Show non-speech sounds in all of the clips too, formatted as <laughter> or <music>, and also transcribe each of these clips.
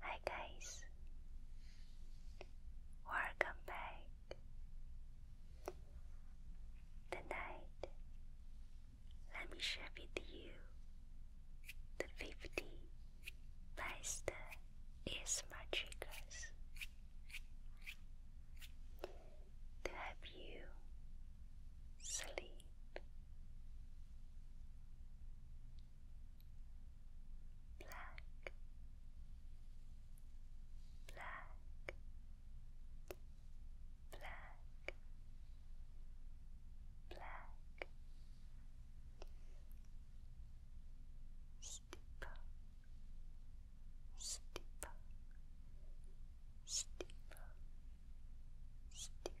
Hi guys, welcome back. Tonight, let me share with you the 50 best ASMR triggers to help you sleep black, black, black, black, steeple, steeple, steeple, steeple.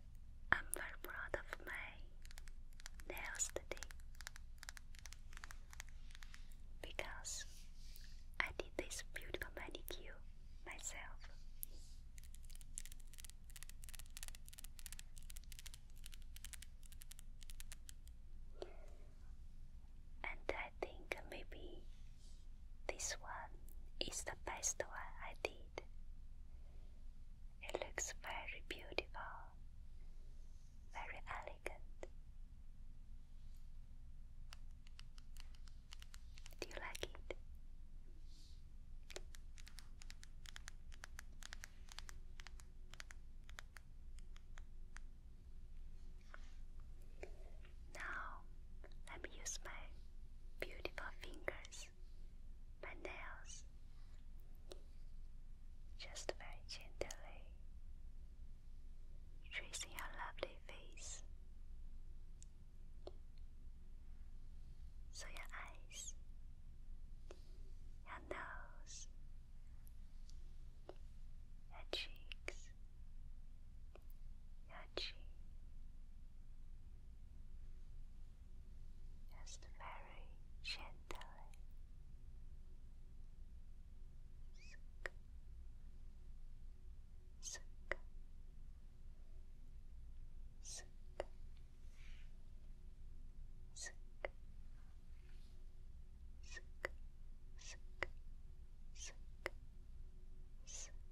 I'm very proud of my nails today because I did this beautiful manicure myself. And I think maybe this one is the best one I did. It looks very beautiful, very elegant. Do you like it? Now, let me use my beautiful fingers nails, my nails, just very gently tracing your lovely face. So your eyes, your nose, your cheeks, your chin, just very gently. Suck. Suck. Suck. Suck. Suck. Suck. Suck. Suck.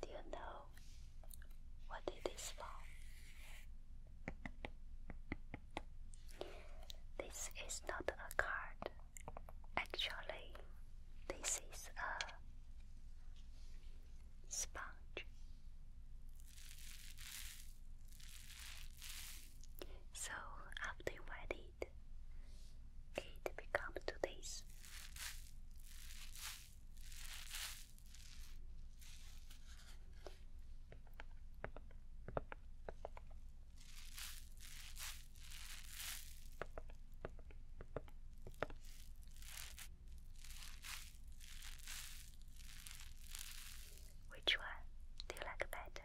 Do you know what it is from? This is not a card. Actually, this is a sponge. So after you it, becomes this. Which one do you like better?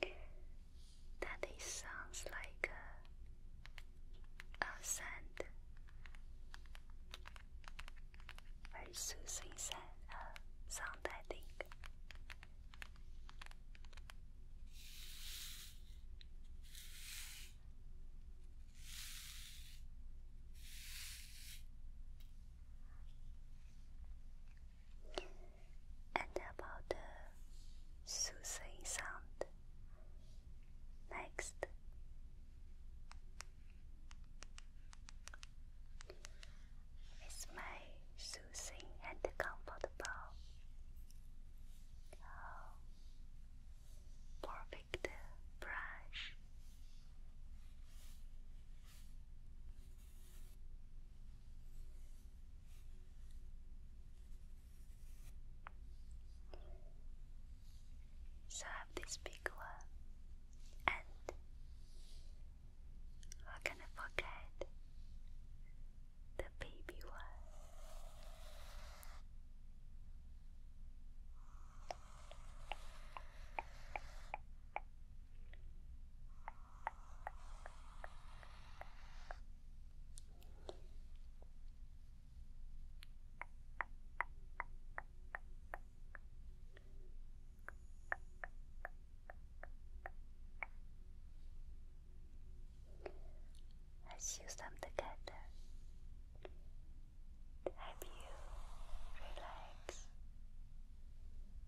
That sounds like a, a sound, very soothing sound, uh, sound I think. And about the soothing sound. Next. is my soothing and comfortable. perfect brush. So I have this big one, and how can I forget the baby one? Let's use them together to you relax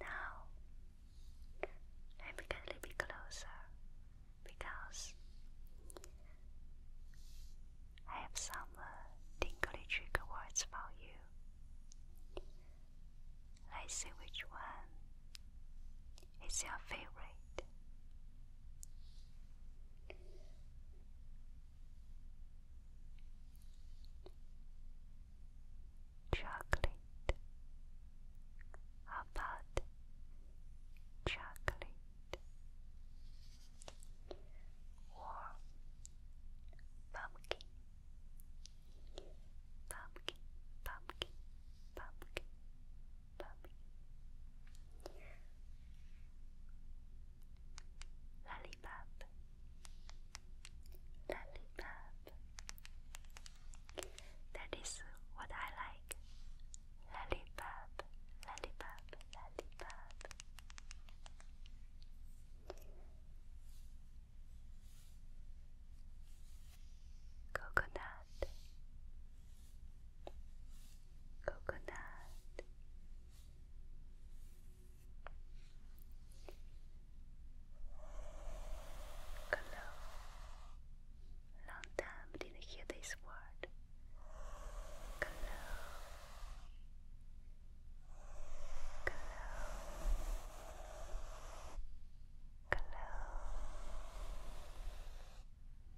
Now, let me get a little closer because I have some uh, tingly trigger words for you. Let's see which one is your favorite. Chocolate. How about chocolate or pumpkin? Pumpkin, pumpkin, pumpkin. Lollipop, lollipop. That is what I like. Lollipop, lollipop, lollipop. Coconut, coconut, hello. Long time didn't hear this word. Hello. Hello. Hello.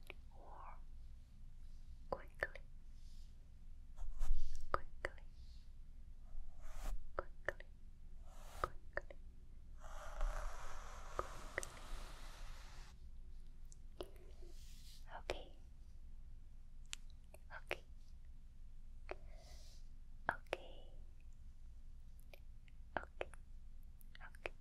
Or quickly, quickly, quickly, quickly, quickly. Okay. Okay. Okay. Okay. Okay. Okay.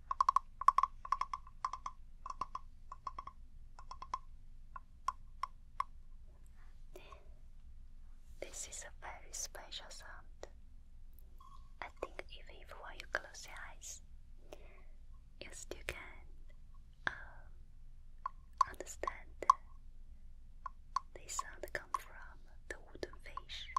This is a very special sound. I think even if you close your eyes, you still can um, understand the sound come from the wooden fish.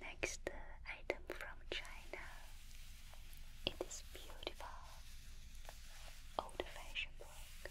Next item from China. It is beautiful old-fashioned book.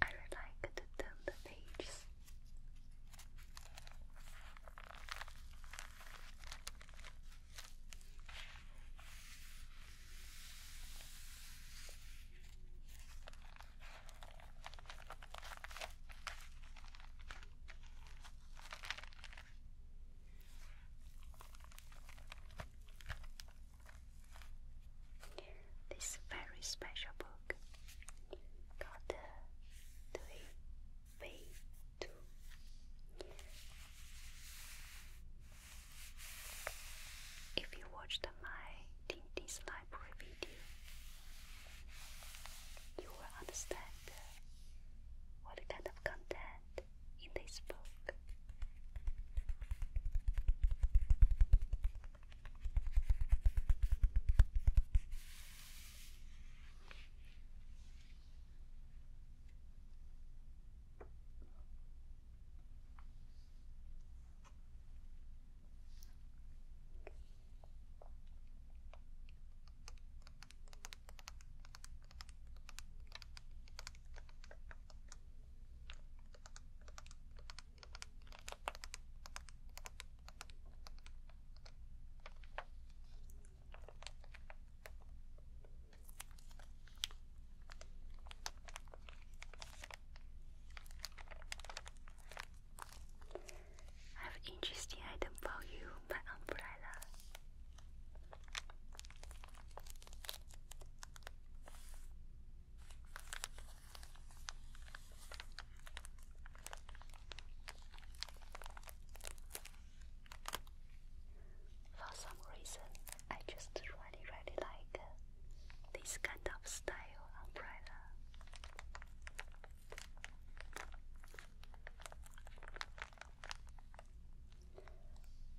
I would like to turn the pages. This very special book got the If you watched my Tintin's library video, you will understand what kind of content in they spoke. I have interesting item for you, my umbrella. For some reason, I just really, really like uh, this kind of style umbrella.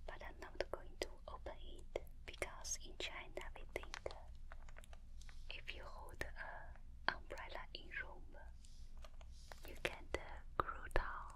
But I'm not going to open it because in China we think if you hold an umbrella in room, you can uh, grow down.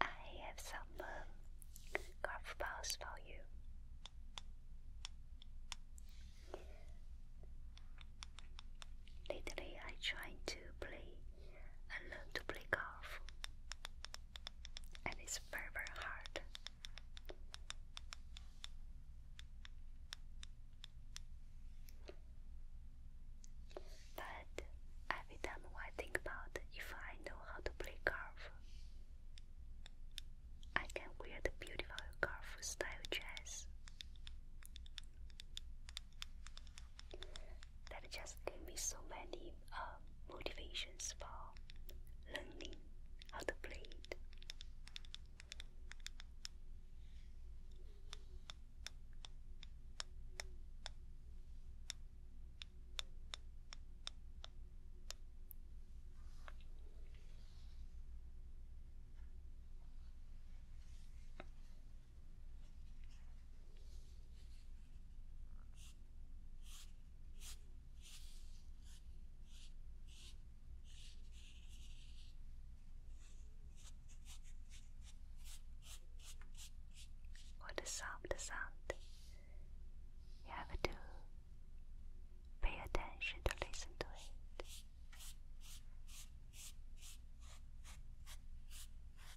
I have some um, golf balls for you. Lately, I try to play. I learn to play golf and it's very, very hard. But every time I think about if I know how to play golf, I can wear the beautiful golf style dress that just gave me so many uh, motivations for learning how to play it the sound, the sound. You have to pay attention to listen to it.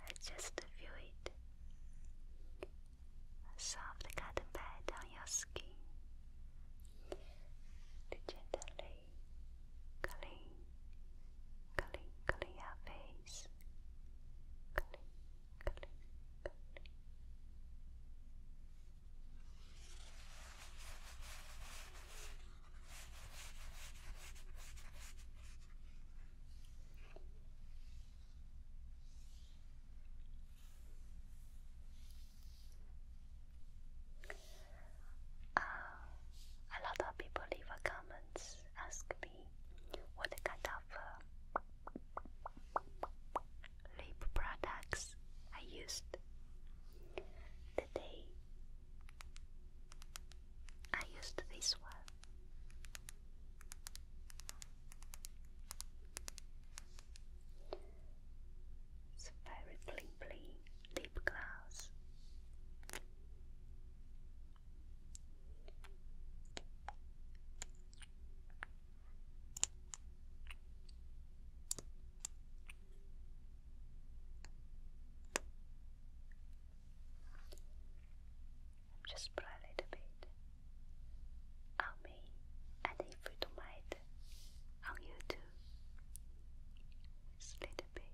let just feel it. soft cotton pad on your skin to gently clean, clean, your face. Clean, clean, clean. Uh, a lot of people leave comments, ask me what kind of lip products I used today. I used this one. It's very bling lip gloss just put a little bit on me and if you don't mind on you too just a little bit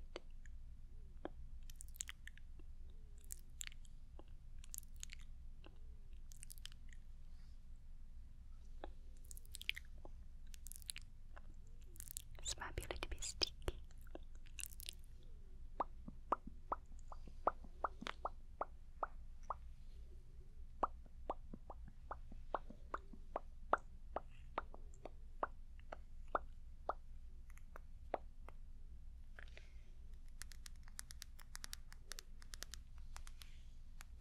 this might be a little bit sticky.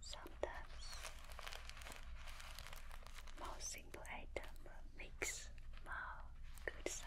Sometimes more simple item makes more good sound.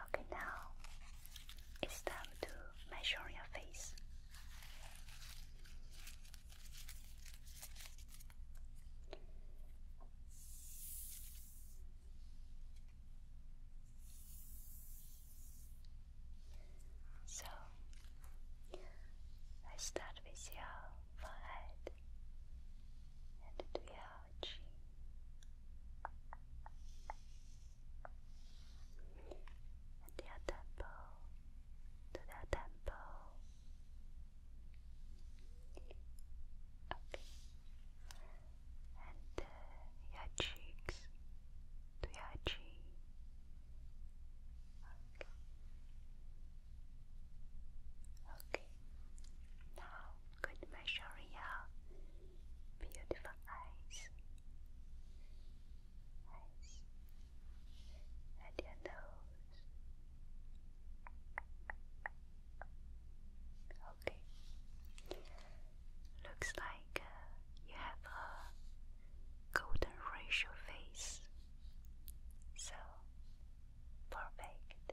Okay, now it's time to measure your face. So let start with your forehead and do your psychology. At temple, to their temple. Okay. And uh, your cheeks to your chin. Okay. Okay. Now, good measure your beautiful eyes, eyes, and your nose. Okay, looks like uh, you have a golden ratio face, so perfect.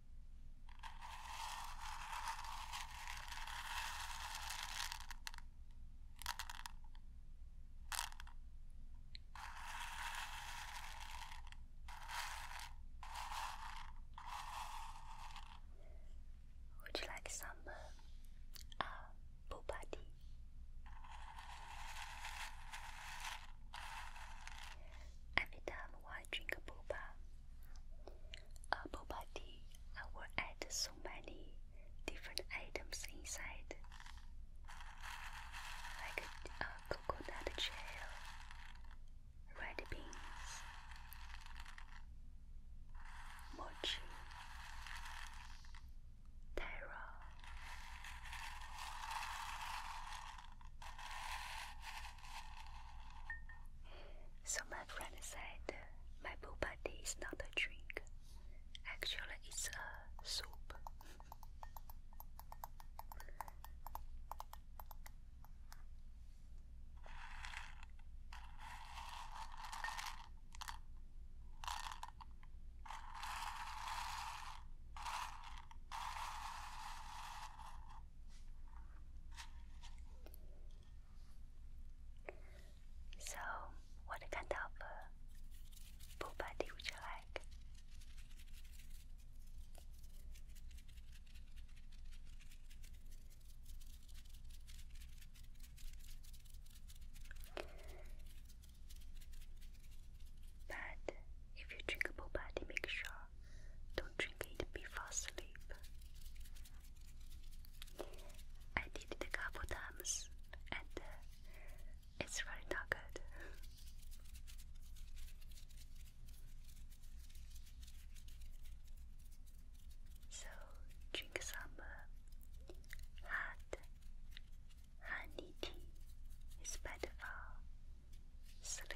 Would you like some uh, uh, boba tea? Every time I drink a boba. A uh, boba tea, I will add so many different items inside, like a, uh, coconut gel, red beans, mochi, taro. So my friend said my bubati is not a drink. Actually it's a soup. So, what kind of uh, pupa you like? But if you drink pupa, make sure don't drink it before sleep. I did it a couple times and uh, it's really not good. so drink some uh, hot honey tea. It's better for sleep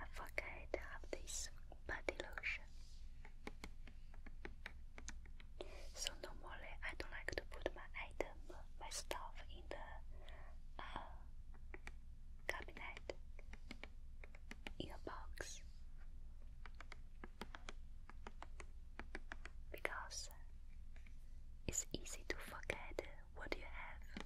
I forget I have this body lotion. So normally I don't like to put my item, my stuff in the uh, cabinet in a box because it's easy to forget what you have.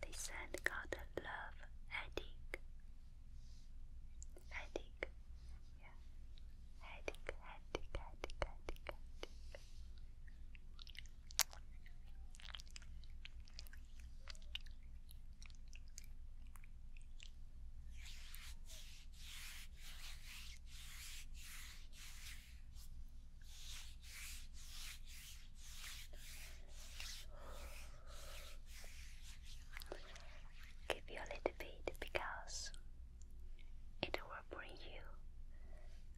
This hand got a love addict. Addict. Yeah. Headache, headache, headache, Give you a little bit because it will bring you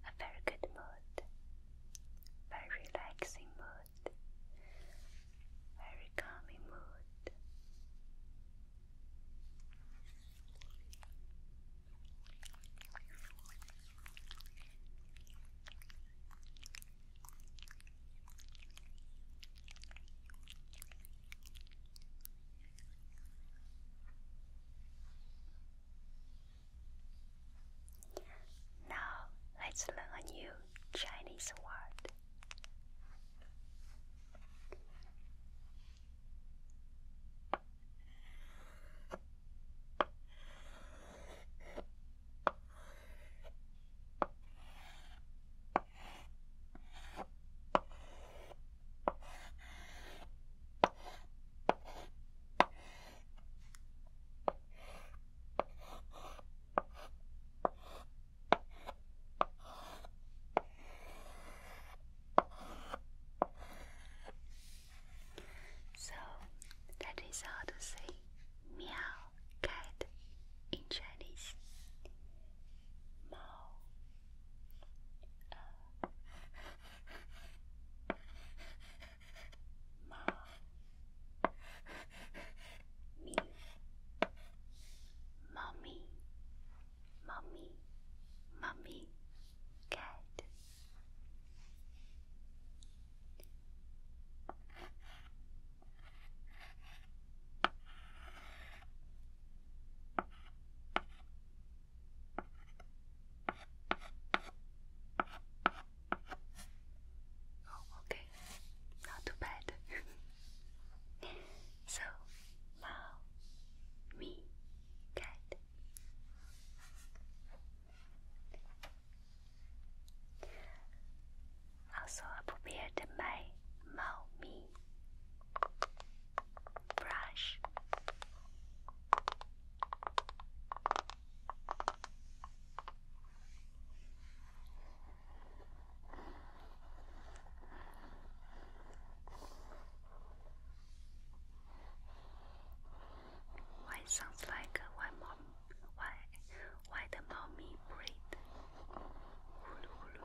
a very good mood, very relaxing mood, very calming mood. Now let's learn a new Chinese word. So that is how to say meow cat in Chinese. Mao ma me mommy mommy mommy cat Oh, okay, not too bad. <laughs> so, now me cat. Also, I prepared my Mao brush. Why sounds like uh, why mom why why the mommy breathe? Hulu, hulu.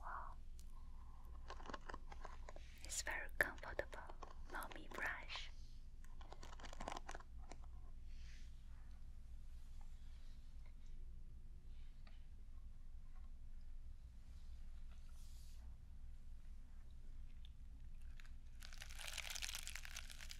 Wow, it's very comfortable, mommy brush.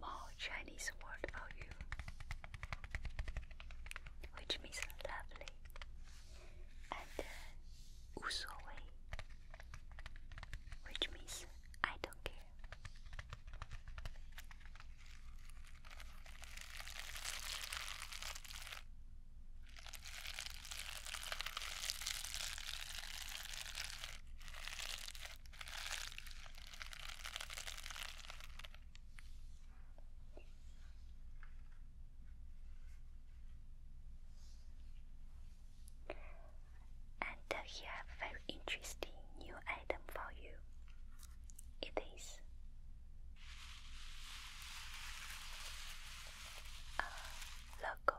more Chinese word for you, which means lovely and uh, 无所谓, which means I don't care. And uh, here very interesting new item for you. It is a uh, logo.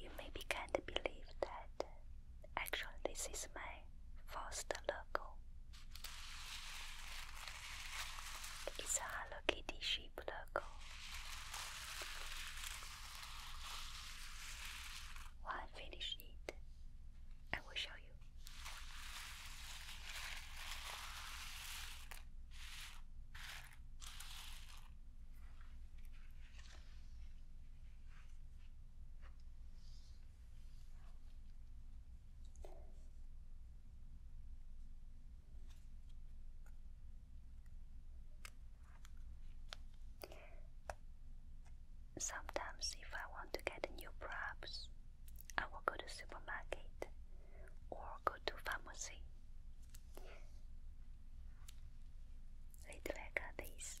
You may be kind to believe that actually this is my first logo. It's a Hello Kitty sheep logo. When I finish it, I will show you. Sometimes, if I want to get new props, I will go to supermarket or go to pharmacy. Little like this.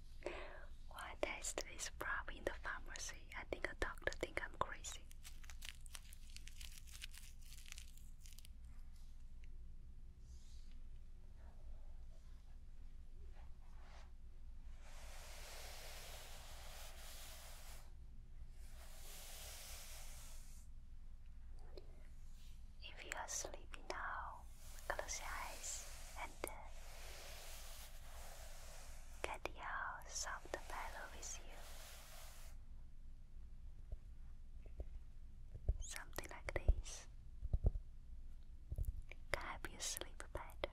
I tested this prop in the pharmacy. I think a doctor think I'm crazy. If you are sleepy now, close your eyes and uh, get your soft pillow with you. Something like this can help you sleep better.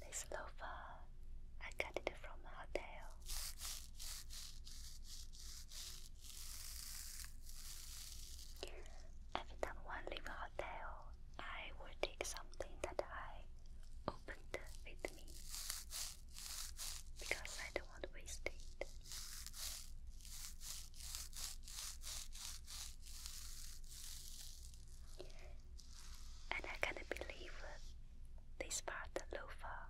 This loafer, I got it from a hotel. Every time I leave a hotel, I will take something that I opened with me because I don't want to waste it. And I can't believe this part, the loafer,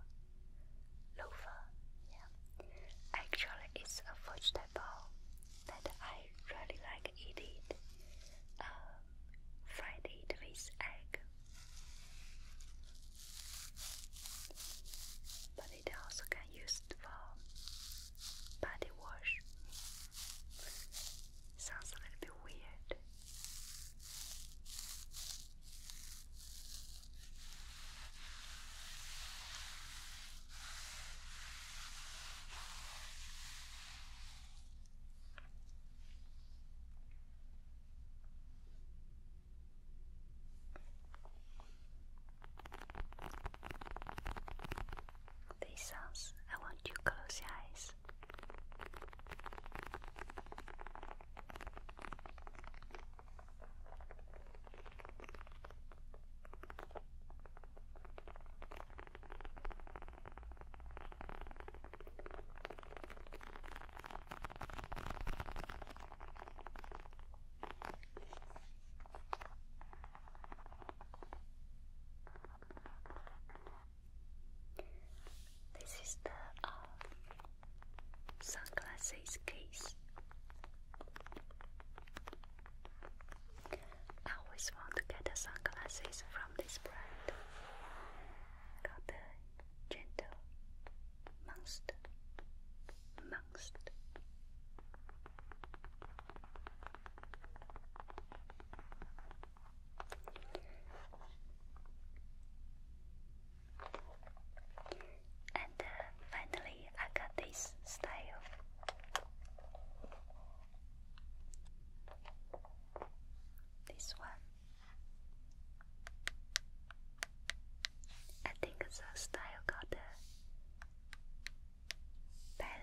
loafer, yeah, actually it's a vegetable that I really like eat it, um, fried with egg but it also can used for body wash. Sounds a little bit weird. These sounds, I want you to close your eyes. This is the uh, sunglasses case. I always want to get the sunglasses from this brand got the gentle monster, monster. And uh, finally, I got this style. This one. I think it's a style called a ballad.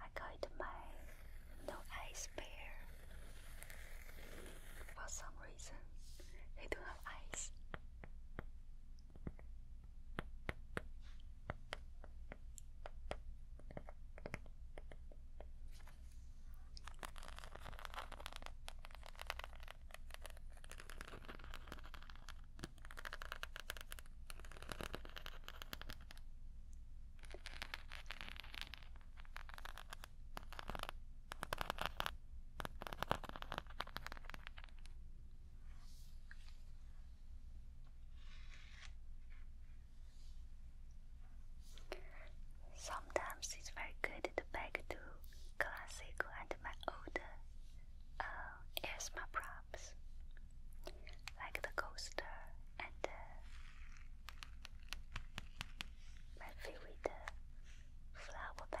I got my no eyes pair. For some reason, they don't have eyes. Sometimes it's very good to back to classic and my old uh, ASMR like the coaster and uh, my favorite uh, flower bag.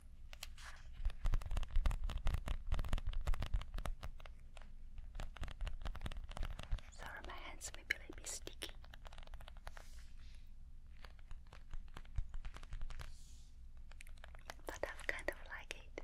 Sorry, my hands may be a bit sticky. But I kind of like it.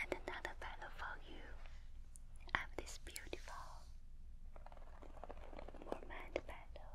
And another pillow for you. I have this beautiful mermaid pillow.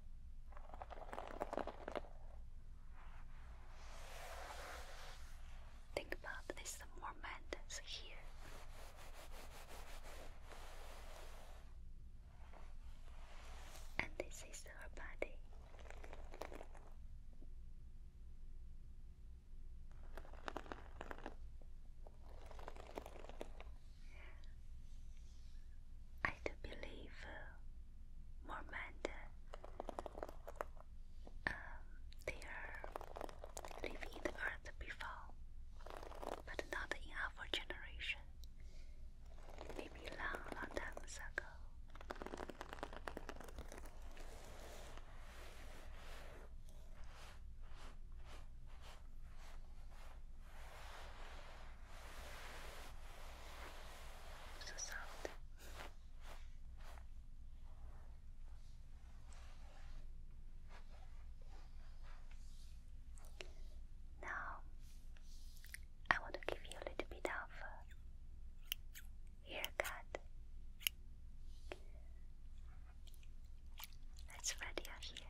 Think about this more here. And this is her body. I do believe uh, Mormont, um, they are living in the earth before, but not in our generation. Maybe long, long times ago the sound. Now, I want to give you a little bit of haircut. Let's ready your hair.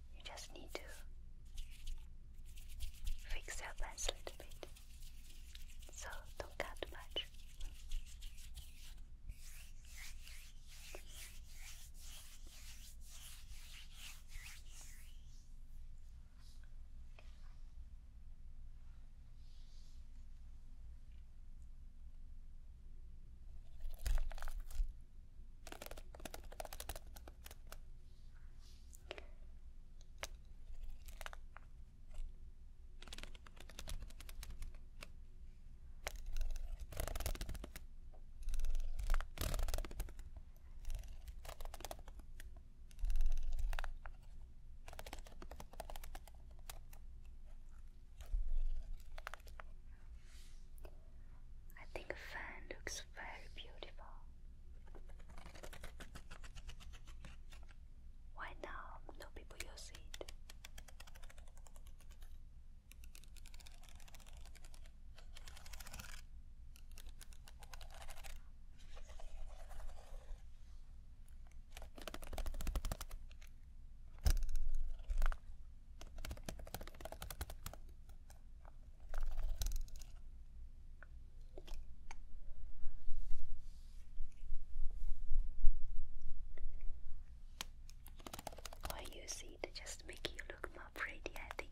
You just need to fix your lens a bit. So don't cut much. I think fan looks very beautiful. Why now no people use it? Or use it just make you look more pretty, I think.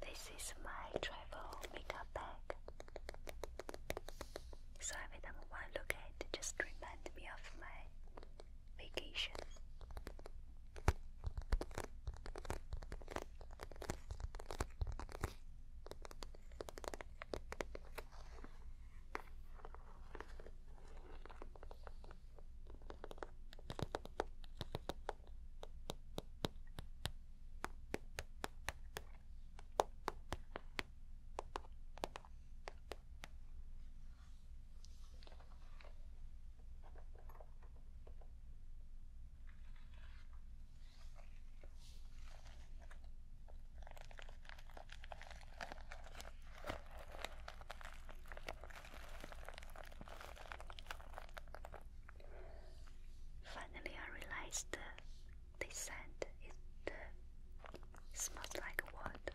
This is my travel makeup bag. So every time I look at it, it just reminds me of my vacation. Finally, I realized they scent it uh, smells like what?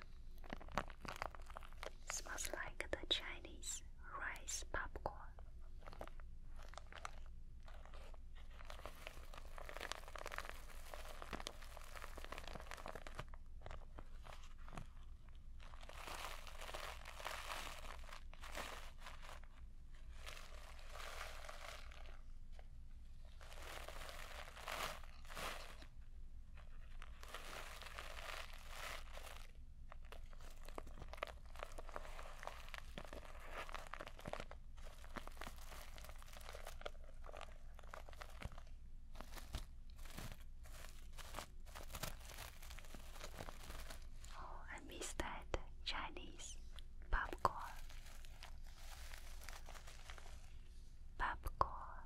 Smells like the Chinese rice popcorn. Oh, I miss that Chinese popcorn. Popcorn.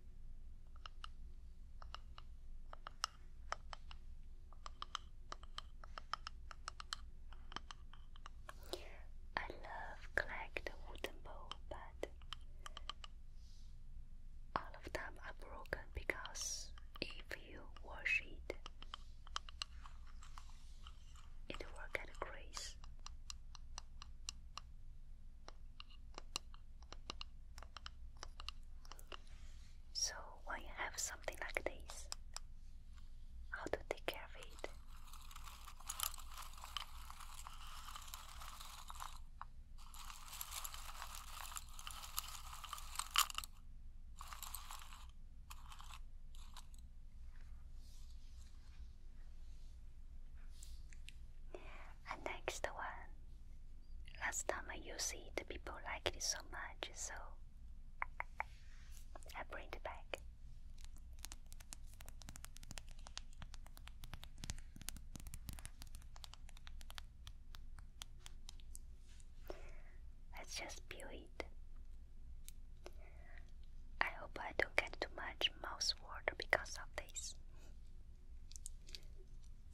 I love collect wooden bowl, but all of them are broken because if you wash it, it will get a so when you have something like this, how to take care of it? And next one. Last time I used it, people liked it so much, so I bring it back. Let's just peel it. I hope I don't get too much mouse water because of this.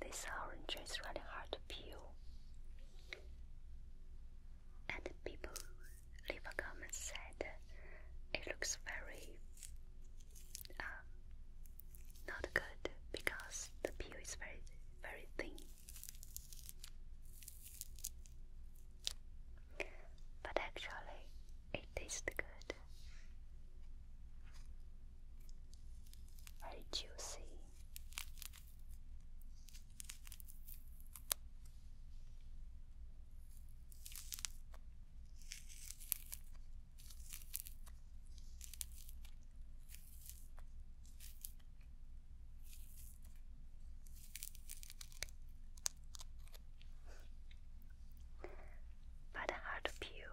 This orange is really hard to peel. And people leave a said it looks very uh, not good because the peel is very, very thin. But actually, it tastes good. Very juicy. By the heart you,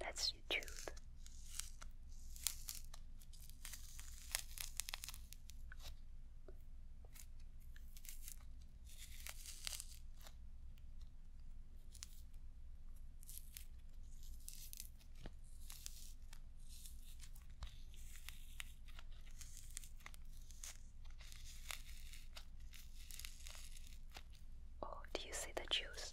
that's the Oh, do you see the juice?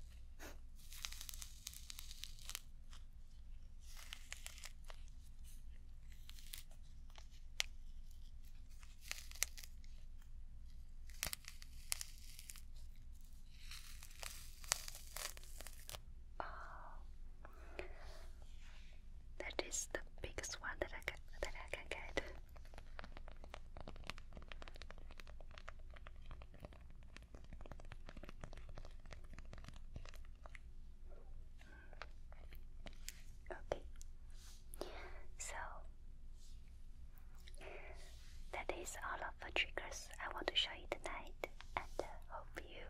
Oh, that is the biggest one that I can that I can get. Okay, so that is all of the triggers I want to show you tonight, and uh, hope you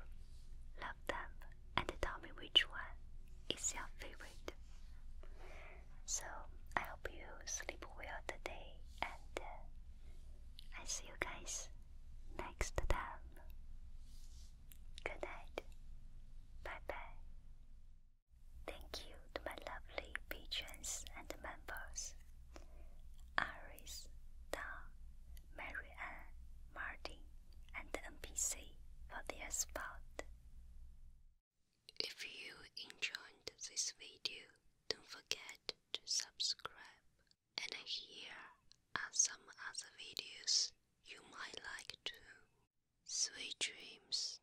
love them and tell me which one is your favorite. So I hope you sleep well today, and uh, I see you guys next time. Good night. Bye bye. Thank you to my lovely patrons and members Iris, Don, Marianne, Martin, and NPC for their support. If you enjoyed this video, don't forget to subscribe. And here are some other videos you might like too. Sweet dreams.